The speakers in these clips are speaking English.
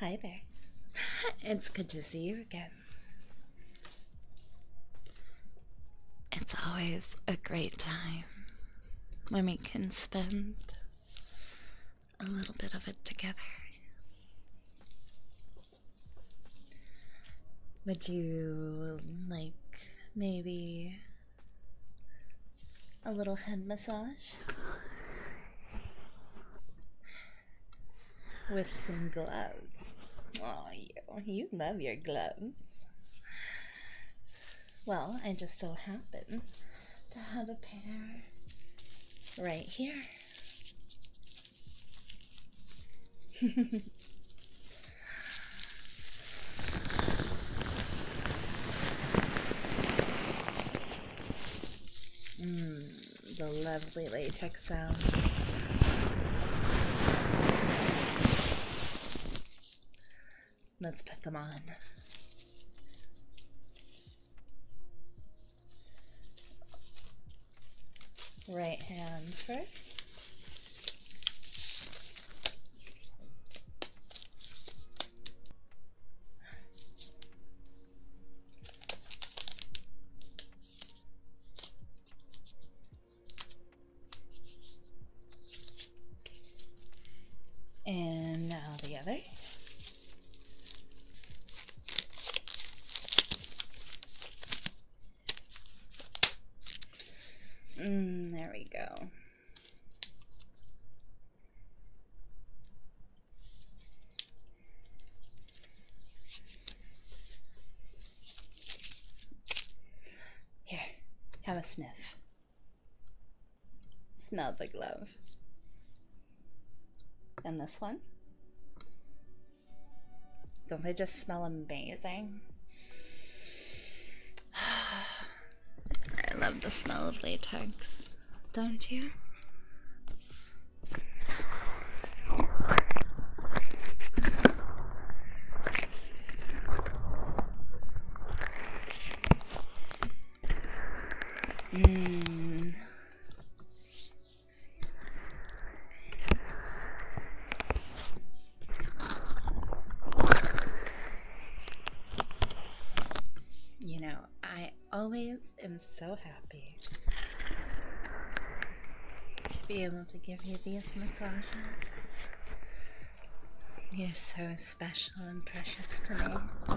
Hi there. it's good to see you again. It's always a great time when we can spend a little bit of it together. Would you like maybe a little head massage? With some gloves. Oh, you. You love your gloves. Well, I just so happen to have a pair right here. Mm, the lovely latex sound. Let's put them on. Right hand first. And now the other. Mm, there we go. Here, have a sniff. Smell the glove. And this one? Don't they just smell amazing? I love the smell of latex don't you? Mm. You know, I always am so happy to be able to give you these massages. You're so special and precious to me.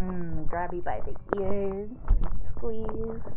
Mm, grab you by the ears and squeeze.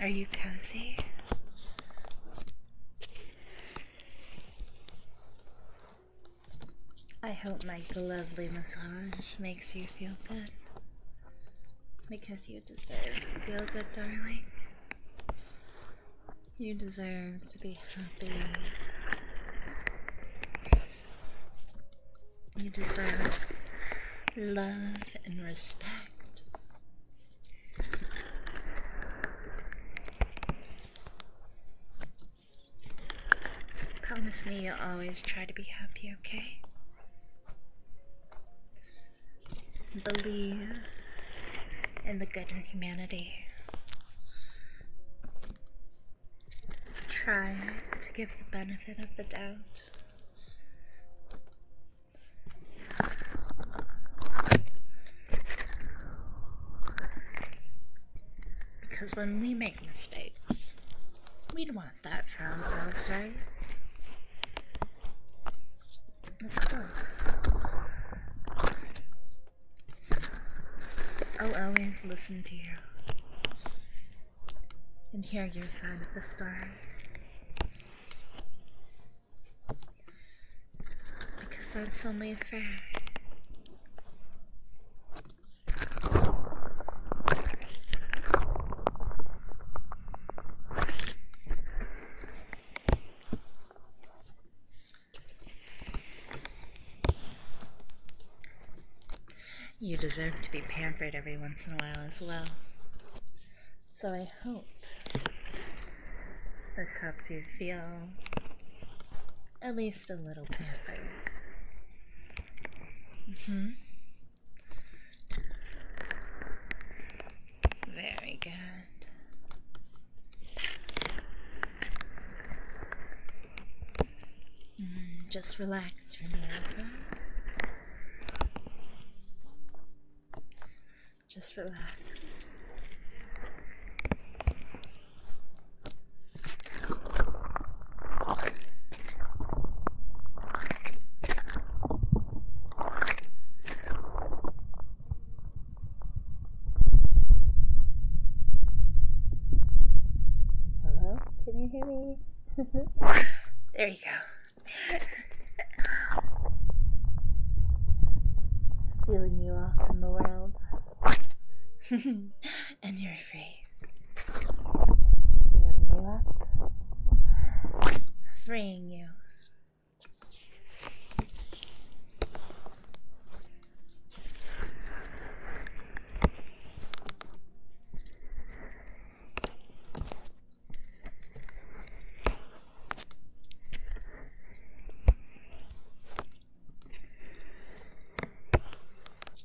Are you cozy? I hope my lovely massage makes makes you feel good. Because you deserve to feel good, darling. You deserve to be happy. You deserve love and respect. Promise me you'll always try to be happy, okay? Believe in the good in humanity. Try to give the benefit of the doubt. Because when we make mistakes, we want that sounds themselves, right? Of course. I'll always listen to you and hear your side of the story. Because that's only fair. You deserve to be pampered every once in a while as well. So I hope this helps you feel at least a little pampered hmm Very good. Mm, just relax for Just relax. Hello? Can you hear me? there you go. Sealing you off from the world. and you're free. you up. Freeing you.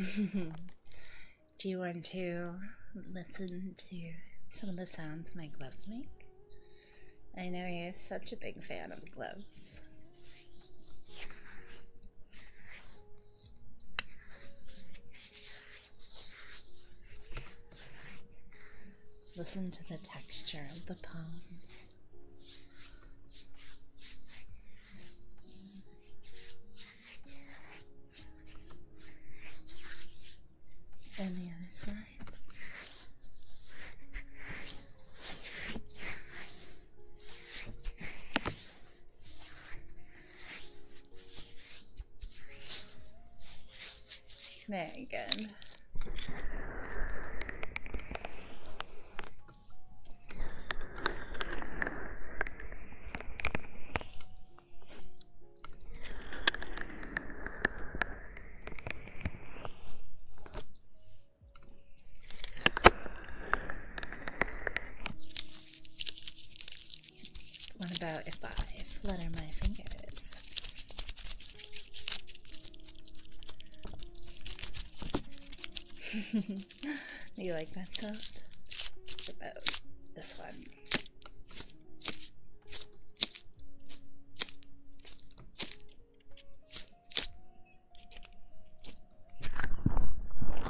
Do you want to listen to some of the sounds my gloves make? I know you're such a big fan of gloves. Listen to the texture of the palms. And the other side. Megan. What about if I flutter my fingers? Do you like that sound? What about this one?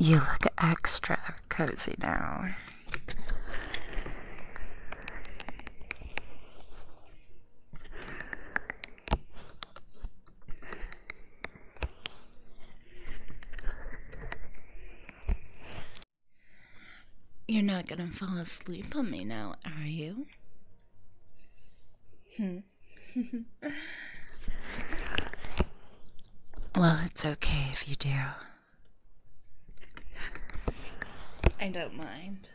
You look extra cozy now. You're not gonna fall asleep on me now, are you? Hmm. well, it's okay if you do. I don't mind.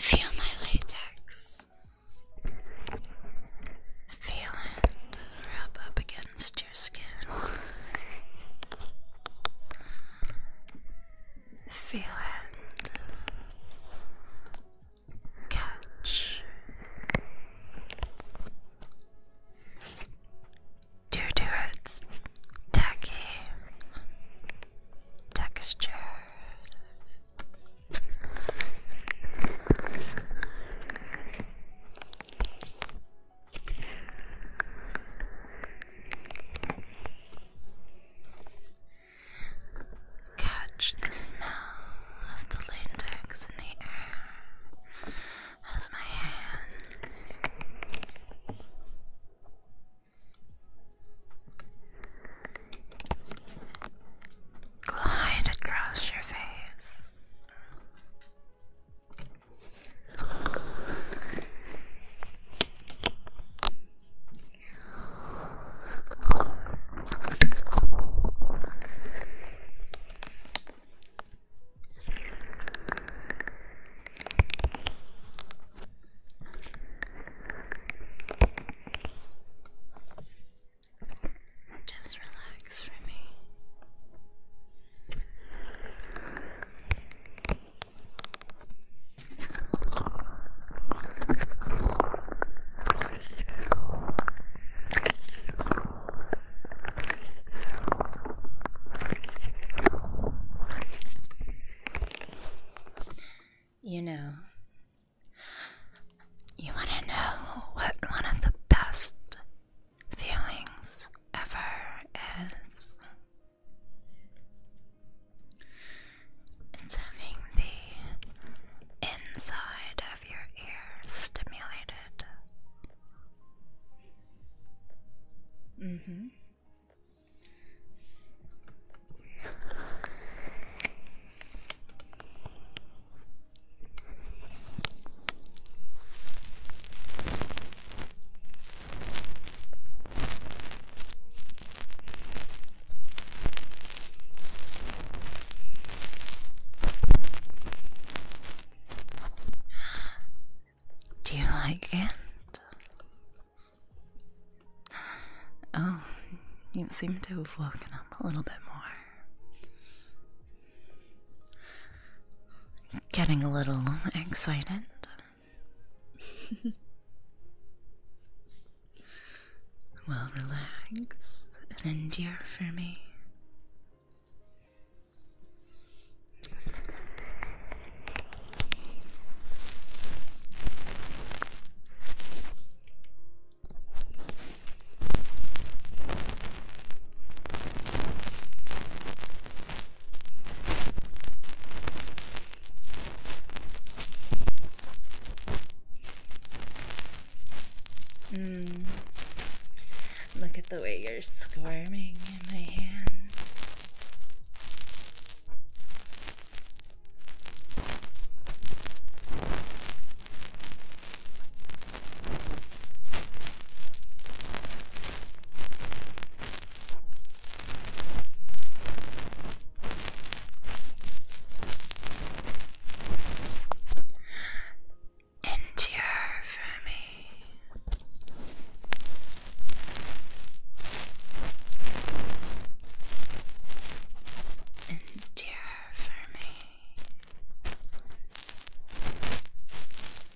Feel my latex. Feel it rub up against your skin. Feel it. Catch. Do do it's tacky texture. Catch the smell of the latex in the air as my hands. Glide across your face. Just relax for me. You know, you want to know what one of the best feelings ever is? It's having the inside of your ear stimulated. Mm hmm. Do you like it? Oh, you seem to have woken up a little bit more. Getting a little excited. well, relax and endure for me. Hmm. Look at the way you're squirming in my hands. Endure for me. Endure for me.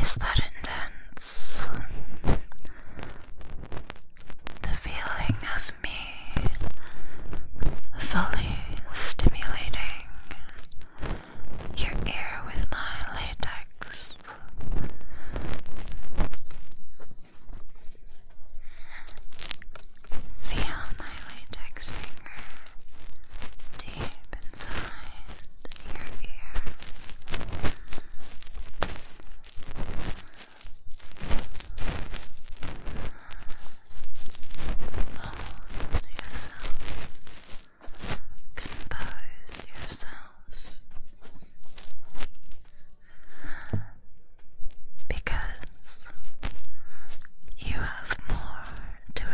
Is that intense? The feeling of me fully stimulating your ear with my latex. Feel my latex finger deep inside your ear. Hold yourself. Compose yourself. Because you have more to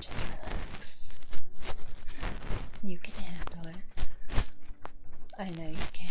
just relax. You can handle it. I know you can.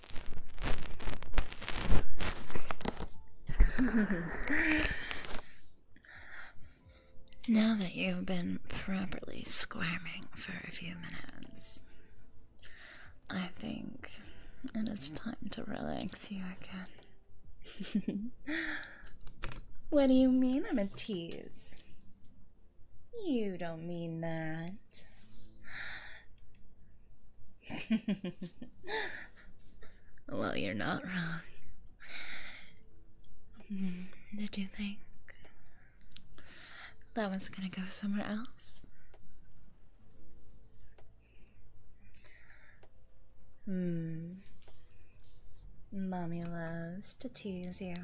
now that you've been properly squirming for a few minutes, I think it is time to relax you again. what do you mean I'm a tease? You don't mean that. well, you're not wrong. Hmm, did you think that one's gonna go somewhere else? Hmm. Mommy loves to tease you.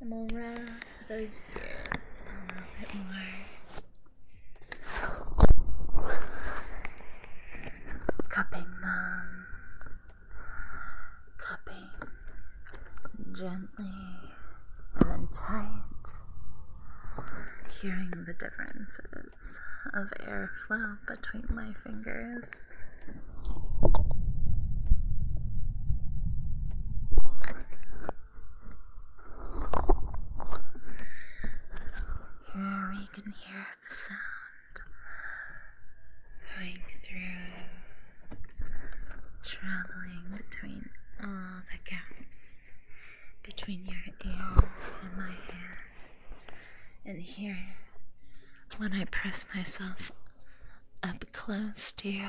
I'm gonna wrap those ears a little bit more. Cupping them. Cupping gently and then tight, hearing the differences of airflow between my fingers. Here we can hear the sound going through traveling between all the gaps between your ear and my ear, and here when I press myself up close to you.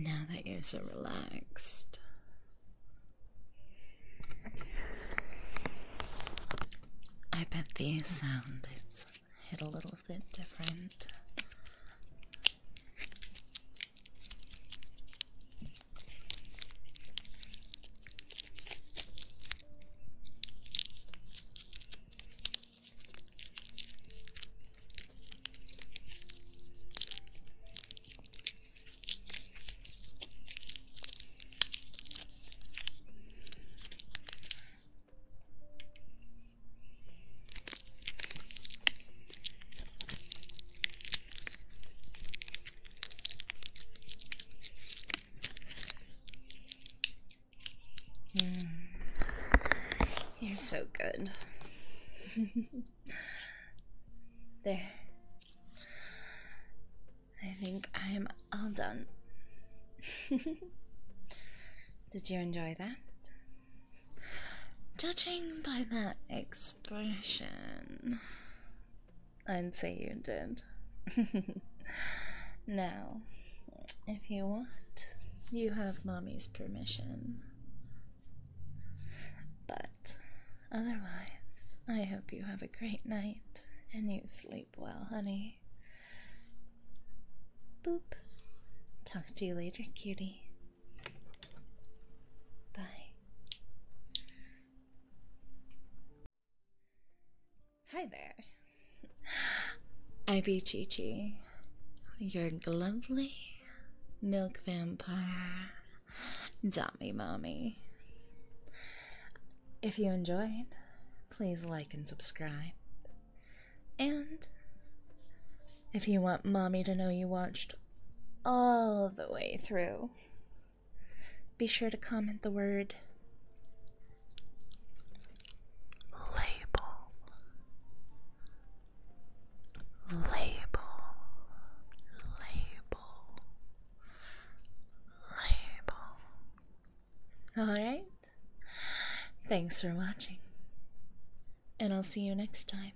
Now that you're so relaxed, I bet the sound is hit a little bit different. Mm. You're so good. there. I think I'm all done. Did you enjoy that? Judging by that expression, I'd say you did. now, if you want, you have mommy's permission but otherwise, I hope you have a great night and you sleep well, honey. Boop. Talk to you later, cutie. Bye. Hi there. I be Chee. Chi. You're lovely Milk Vampire, Dummy Mommy. If you enjoyed, please like and subscribe. And if you want Mommy to know you watched all the way through, be sure to comment the word label label, label, label. Alright? Thanks for watching, and I'll see you next time.